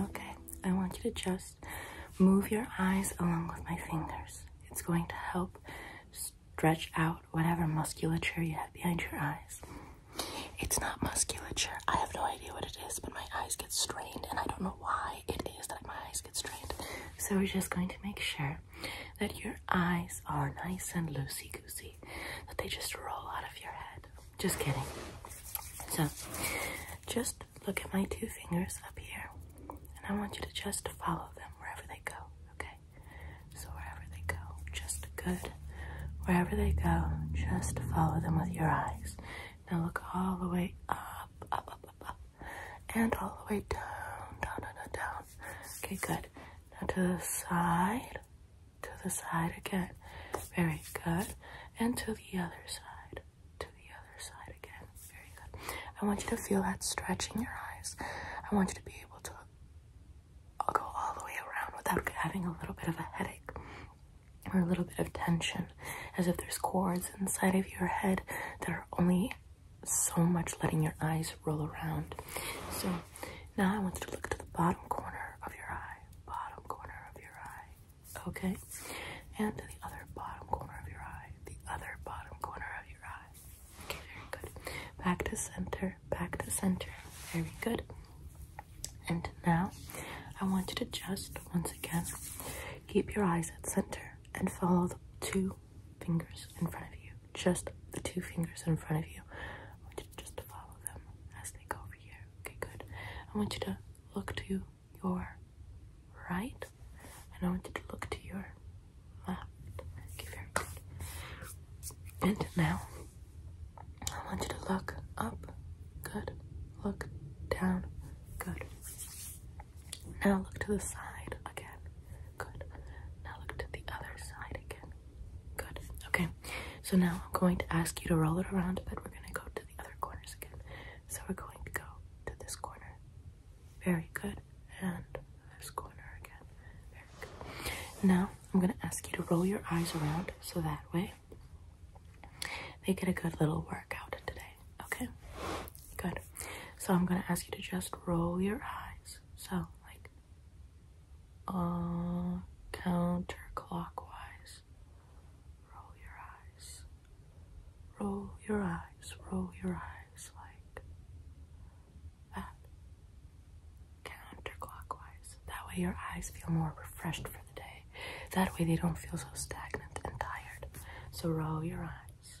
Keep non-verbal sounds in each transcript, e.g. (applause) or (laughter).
Okay, I want you to just move your eyes along with my fingers. It's going to help stretch out whatever musculature you have behind your eyes. It's not musculature. I have no idea what it is, but my eyes get strained, and I don't know why it is that my eyes get strained. So we're just going to make sure that your eyes are nice and loosey goosey, that they just roll out of your head. Just kidding. So, just look at my two fingers up here, and I want you to just follow them wherever they go, okay? So, wherever they go, just good. Wherever they go, just follow them with your eyes. Now, look all the way up, up, up, up, up, and all the way down, down, down, down, Okay, good. Now to the side, to the side again. Very good. And to the other side, to the other side again. Very good. I want you to feel that stretching in your eyes. I want you to be able to go all the way around without having a little bit of a headache or a little bit of tension, as if there's cords inside of your head that are only so much letting your eyes roll around. So now I want you to look to the bottom corner of your eye, bottom corner of your eye, okay? And to the other bottom corner of your eye, the other bottom corner of your eye. Okay, very good. Back to center, back to center. Very good. And now I want you to just once again keep your eyes at center and follow the two fingers in front of you, just the two fingers in front of you. I want you to just follow them as they go over here. Okay, good. I want you to look to your right, and I want you to look to your left. very good. And now I want you to look up. Good. Look down. Good. Now look to the side again. Good. Now look to the other side again. Good. Okay. So now I'm going to ask you to roll it around, but we're going to go to the other corners again. So we're going to go to this corner. Very good. And this corner again. There we go. Now I'm going to ask you to roll your eyes around so that way they get a good little workout today. Okay, good. So I'm gonna ask you to just roll your eyes. So, like, uh, counterclockwise. Roll your eyes. Roll your eyes. Roll your eyes like that. Counterclockwise. That way your eyes feel more refreshed for the day. That way they don't feel so stagnant and tired. So roll your eyes.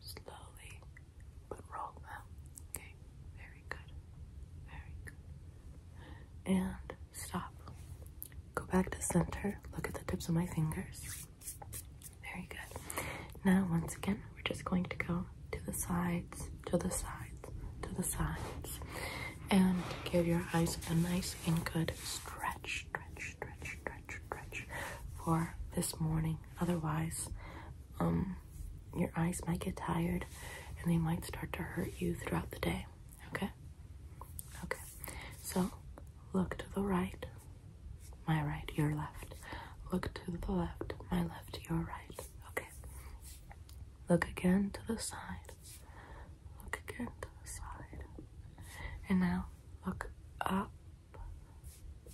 slowly, but roll them. Okay, very good, very good. And stop. Go back to center. Look at the tips of my fingers. Very good. Now, once again, we're just going to go to the sides, to the sides, to the sides, and give your eyes a nice and good stretch, stretch, stretch, stretch, stretch for this morning. Otherwise, um, your eyes might get tired and they might start to hurt you throughout the day. Okay? Okay. So look to the right, my right, your left. Look to the left, my left, your right. Okay. Look again to the side. Look again to the side. And now look up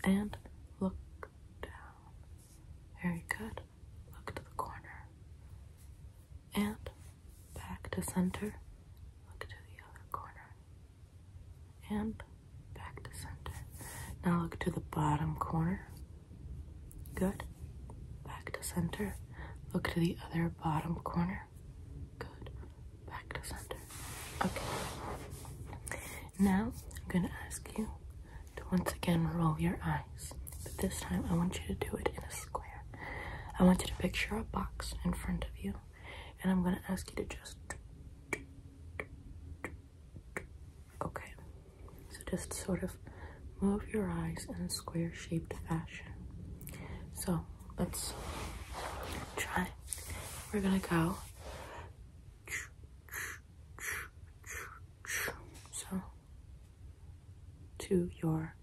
and look down. Very good. Look to the corner. And back to center. Look to the other corner. And back to center. Now look to the bottom corner. Good. Back to center. Look to the other bottom corner. Good. Back to center. Okay. Now I'm going to ask you to once again roll your eyes. But this time, I want you to do it in a square. I want you to picture a box in front of you, and I'm going to ask you to just. Okay, so just sort of move your eyes in a square shaped fashion. So let's try. We're going to go so to your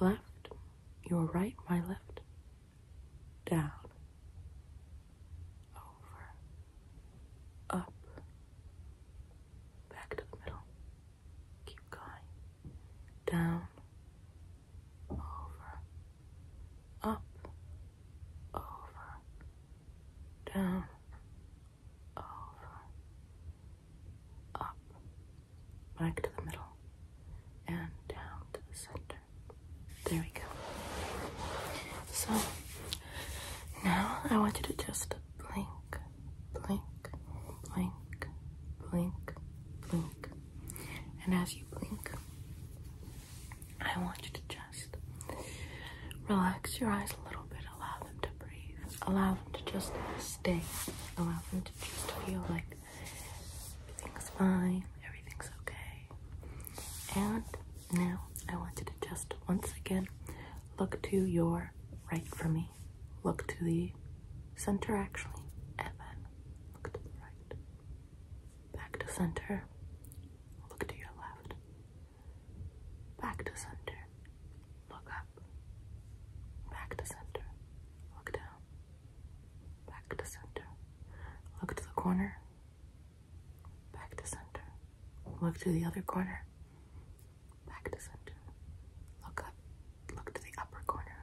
left, your right, my left, down, over, up, back to the middle. Keep going. Down, over, up, over, down, over, up, back to the middle, and down to the center. There we go. So now I want you to just blink, blink, blink, blink, blink. And as you blink, I want you to just relax your eyes a little bit. Allow them to breathe. Allow them to just stay. Allow them to just feel like everything's fine, everything's okay. And now I want you to just once again look to your right for me. Look to the center actually, and then look to the right. Back to center. Look to your left. Back to center. Look up. Back to center. Look down. Back to center. Look to the corner. Back to center. Look to the other corner. Back to center. Look up. Look to the upper corner.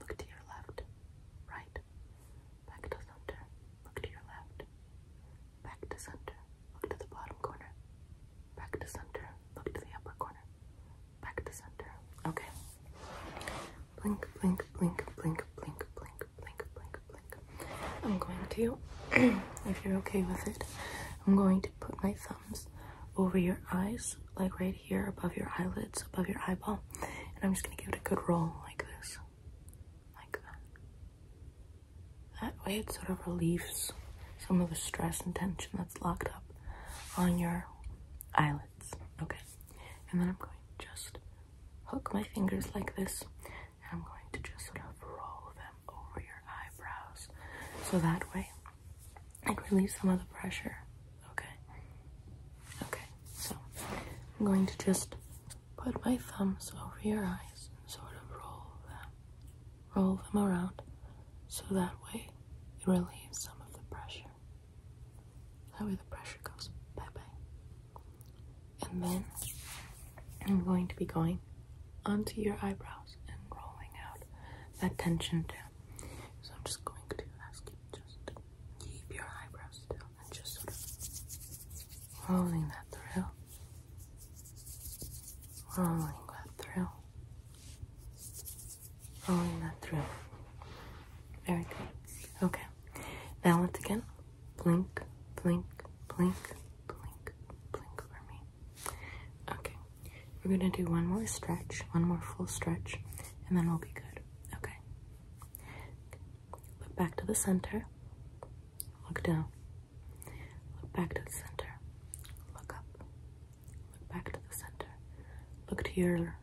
Look to your left, right, back to center, look to your left, back to center, look to the bottom corner, back to center, look to the upper corner, back to center. Okay. Blink, blink, blink, blink, blink, blink, blink, blink, blink. I'm going to, (clears throat) if you're okay with it, I'm going to put my thumbs over your eyes like right here above your eyelids, above your eyeball. And I'm just gonna give it a good roll like this. Like that. way it sort of relieves some of the stress and tension that's locked up on your eyelids. Okay. And then I'm going to just hook my fingers like this. And I'm going to just sort of roll them over your eyebrows. So that way like relieve some of the pressure. Okay. Okay. So I'm going to just put my thumbs over your eyes and sort of roll them, roll them around, so that way it relieves some of the pressure. That way the pressure goes bye bye. And then I'm going to be going onto your eyebrows and rolling out that tension too. So I'm just going to ask you to keep your eyebrows still and just sort of rolling that through. Rolling that through. Rolling that through. Very good. Okay. Now once again, blink, blink, blink, blink, blink for me. Okay, we're gonna do one more stretch, one more full stretch, and then we'll be good. Okay, look back to the center, look down, look back to the center, look up, look back to the center, look to your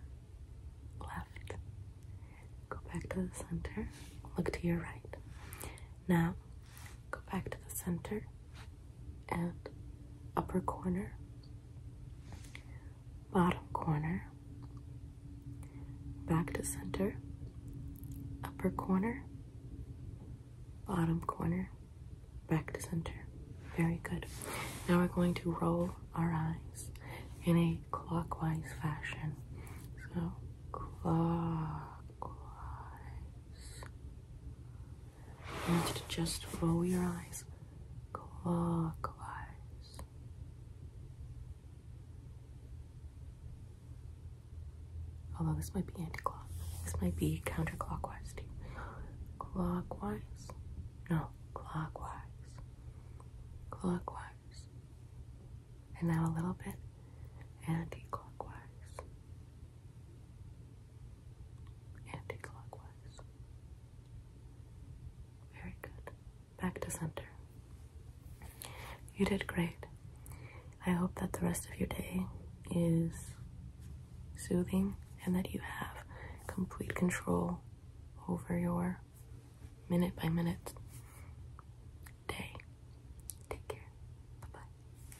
left, go back to the center, look to your right. Now, go back to the center, and upper corner, bottom corner, back to center, upper corner, bottom corner, back to center. Very good. Now we're going to roll our eyes in a clockwise fashion. So clockwise, I want to just roll your eyes clockwise. Although this might be anti-clock, this might be counterclockwise too. Clockwise? No, clockwise. Clockwise. And now a little bit anti-clockwise anti-clockwise. Very good. Back to center. You did great. I hope that the rest of your day is soothing and that you have complete control over your minute by minute day. Take care. Bye bye.